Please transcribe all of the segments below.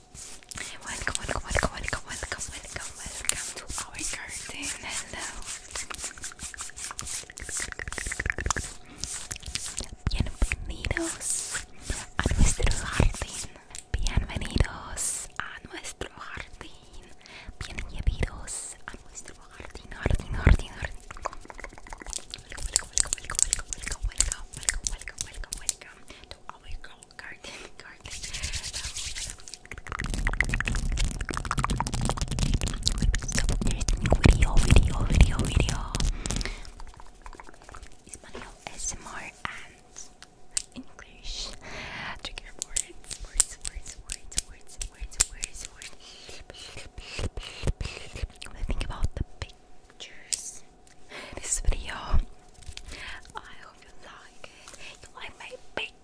Welcome, welcome, welcome, welcome, welcome, welcome, welcome to our garden. Hello. Bienvenidos a nuestro jardín. Bienvenidos a nuestro jardín. Bienvenidos a nuestro jardín, jardín, jardín, jardín. Welcome, welcome, welcome, welcome, welcome, welcome, welcome, welcome, welcome, welcome to our garden garden, garden. video, video, video, video. Espanol, SMR, and English. Trigger words, words, words, words, words, words, words, words. Think about the pictures this video. I hope you like it. You like my bacon.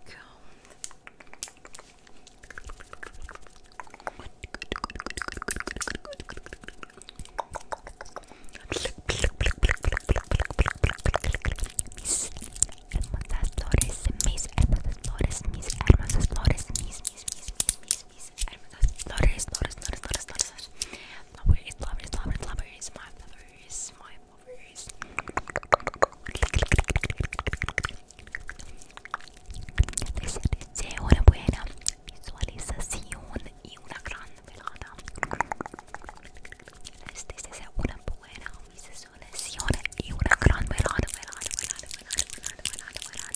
Mis hermosas flores, mis hermosas flores, mis hermosas flores, mis, mis, mis, mis, mis, mis hermosas flores, flores, flores, flores, flores, flores. Lovers, lovers, lovers, lovers, my lovers, una buena visualización y una gran velada. Les deseo una buena visualización y una gran velada, velada, velada, velada, velada,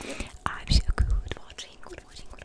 velada, velada. I'm so good watching, good watching,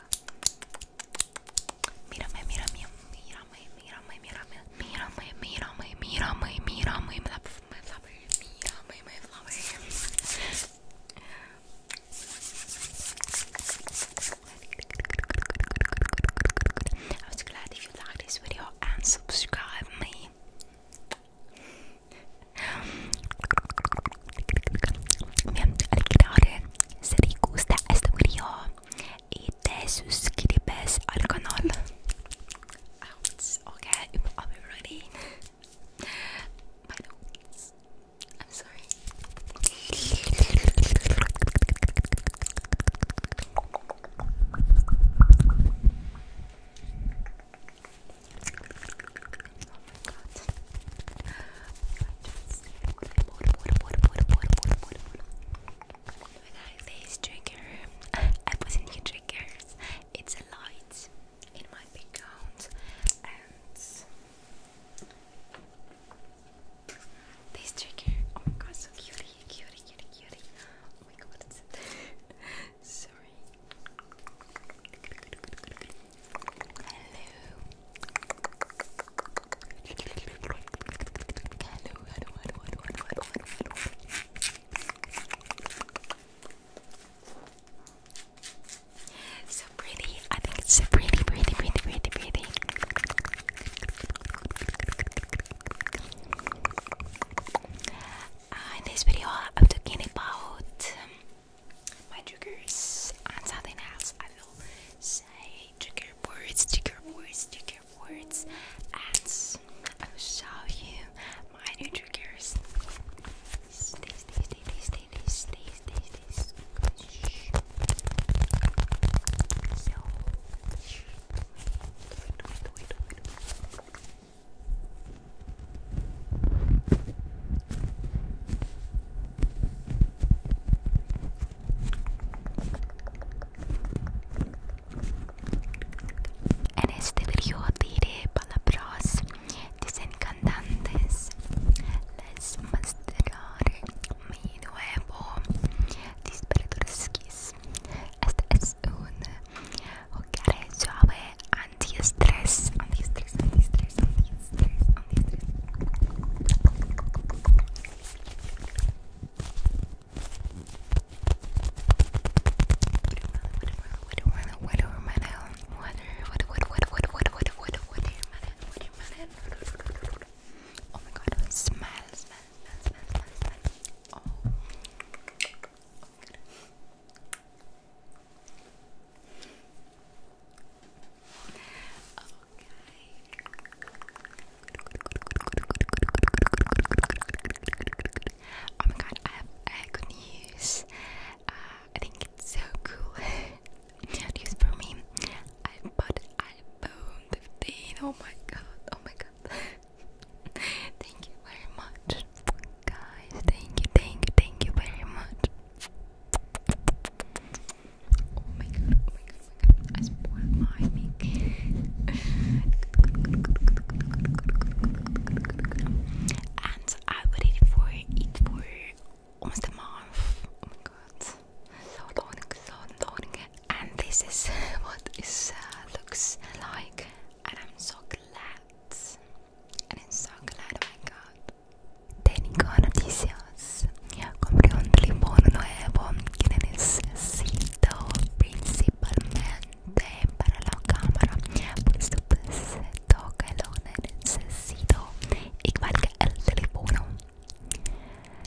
Mírame, mírame, mírame, I was glad if you liked this video and subscribe me. Bien, alquiladores, si te gusta este video y te suscribes al canal. Okay, are we ready? By the way, I'm sorry. I just water, water, trigger, It's a light in my background and this trigger. Oh my god, so cutie, cutie, cutie, cutie. Oh my god, it's sorry. So pretty, I think it's a pretty, pretty, pretty, pretty, pretty. Uh, in this video, I'm talking about um, my triggers on something else. I will say trigger words, trigger words, trigger words, and I will show you my new triggers. Stay, stay, stay, stay, stay, stay, stay, stay. En este video diré palabras desencantantes. Les mostraré mi nuevo disparador skis. Este es un juguete suave anti-estrés. anti there's on these, there's on these, there's watermelon, watermelon, water, water, water, water, water, water, water, watermelon, watermelon. Oh my god, smell, smell, smell, smell, smell, smell. Oh. oh my god. Oh my god, I have good news. Uh, I think it's so cool. news for me. I bought iPhone 15. Oh my god, oh my god. thank you very much, guys. Thank you, thank you, thank you very much. Oh my god, oh my god, oh my god. I spoiled my mic. and I waited for it for almost a month. Oh my god. So long, so long. And this is what it uh, looks like. And I'm so glad. And I'm so glad, oh my god. Tengo noticias. Compré un teléfono nuevo que necesito principalmente para la cámara. Por supuesto que lo necesito igual que el teléfono.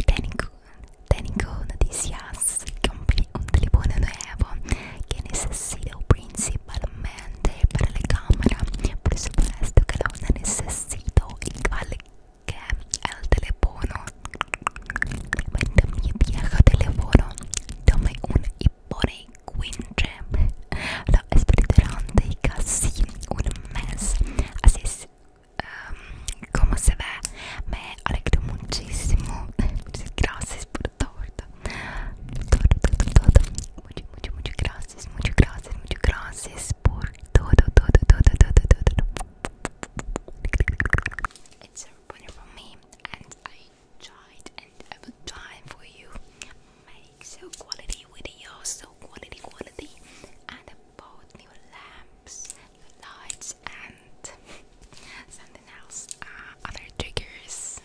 Tengo, noticias. Compré un teléfono nuevo que necesito principalmente para la cámara. Por supuesto que lo necesito sido igual que el teléfono. Cuando mi viejo teléfono. Tomé un hiporecuinche. Lo esperé durante casi un mes. Así es em, como se ve. Me alegro muchísimo. Muchas gracias por todo. Todo, por todo. Mucho, muchas, gracias. It's so pleasure for me, and I tried, and I will try for you. Make so quality videos, so quality, quality, and about new lamps, lights, and something else, uh, other triggers.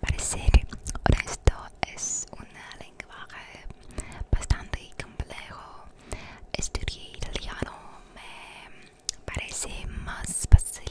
Parecer esto es un lenguaje bastante complejo. Estudiar italiano me parece más fácil.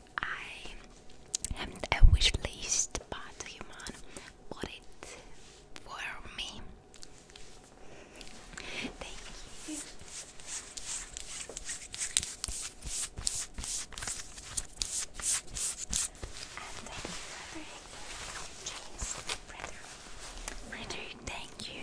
I haven't a wish list, but human bought it for me. Thank you. And thank you, James, Frederick. Frederick, thank you.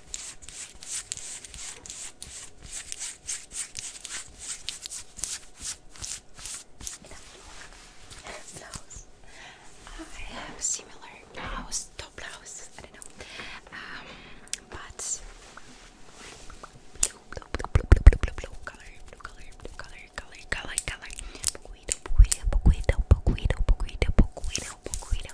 I have similar blouse, top blouse. I don't know, um, but blue, blue, blue, blue, blue, blue, blue, blue color, blue color, blue color, color, color, color. Poquito, poquito, poquito, poquito, poquito, poquito, poquito.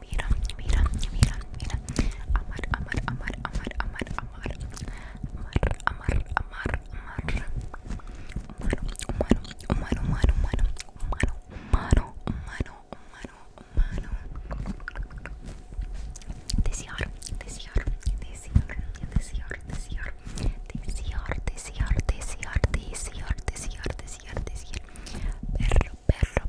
Mira, mira, mira, mira. Amar, amar, amar, amar, amar, amar. Amar, amar, amar, amar. Humano, humano, humano, humano, humano. Humano, humano, humano, humano, humano. Desear, desear, desear, desear, desear. Desear, desear, desear, desear, desear, desear. Perro, perro,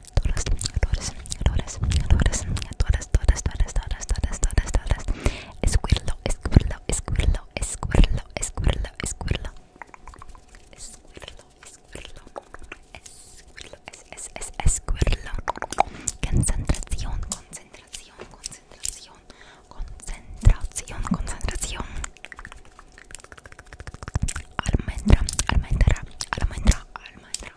todas, todas, todas, todas, todas, todas, todas, todas, todas, todas, concentración, concentración, concentración, concentración, concentración, almendra, almendra,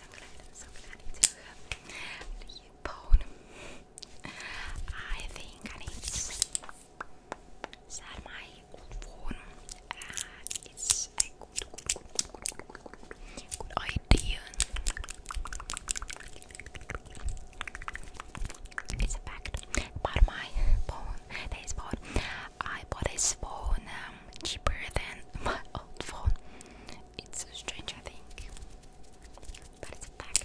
I'm think I need to sell my phone. Uh, it's a good, idea. It's a fact. But my phone, this phone, I bought this phone. Um, cheaper than my old phone. It's a strange, thing, but it's a fact.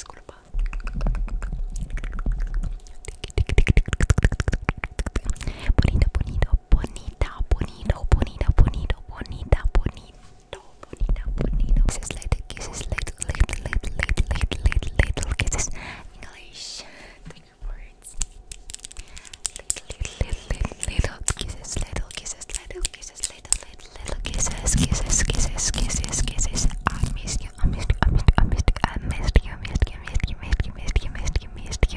disculpa. Bonito, bonito, bonita, bonito, bonita, bonito, bonita, bonito, bonita, bonito. Kisses, little kisses, little, little, little, little, little, little, little kisses. English, thank you for it. Little, little, little, little, little kisses, little kisses, little kisses kisses, little, little, little kisses, kisses, kisses, kisses, kisses. I missed you, I missed you, I missed you, I missed you, I missed you, missed you, missed you, missed you, missed you, missed you, missed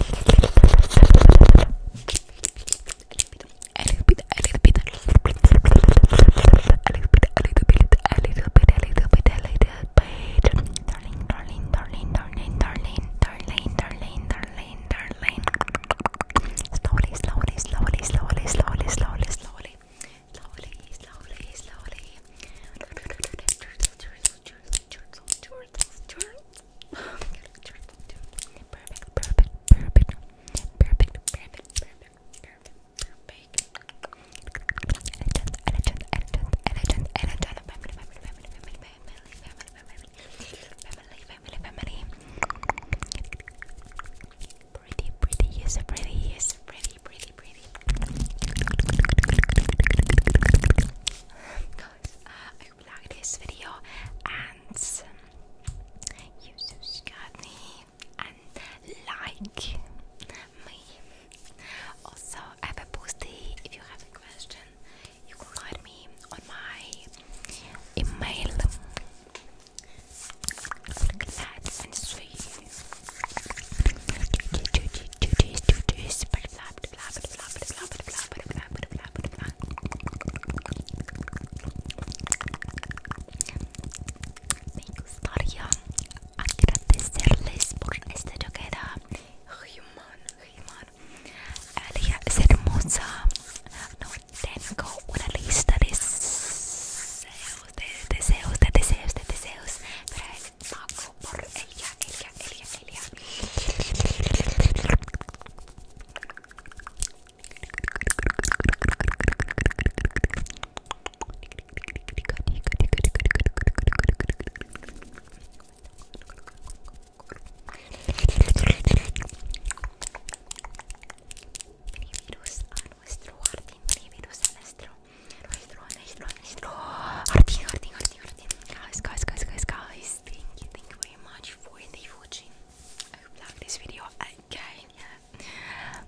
you. A little bit, a little bit, a little bit, a little bit, a little bit, a little bit, a little bit, a little bit. Darling, darling, darling, darling, darling, darling, darling, darling darling, darling. Slowly, slowly, slowly, slowly, slowly, slowly, slowly. Slowly, slowly, slowly. Perfect, perfect, perfect. Perfect, perfect, perfect, perfect, perfect. Elegant, elegant, elegant, elegant, elegant. Family, family, family, family, family, family, family, family, family, family, family. Pretty, pretty, yes, pretty, yes, pretty, pretty, pretty. Guys, I hope you like this video and subscribe me and like me. Also, If you have a question, you can write me on my email relax and Me gustaría agradecerles por esta toquera human, human. es hermosa. tengo una lista de deseos, de deseos, de deseos, de deseos para el mago por Elia, Elia, Elia, Elia. Trivirus a nuestro Jardín, Trivirus a nuestro, nuestro, nuestro, nuestro Jardín, Jardín, Jardín, Jardín. Guys, guys, guys, guys, guys, thank you, thank you very much for the watching. I hope you like this video again. Yeah.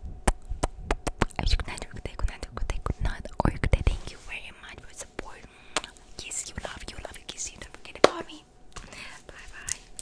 Good night, good day, good night, good day, good night, or good day. Thank you very much for support. Kiss you, love you, love you, kiss you. Don't forget about me. Bye bye.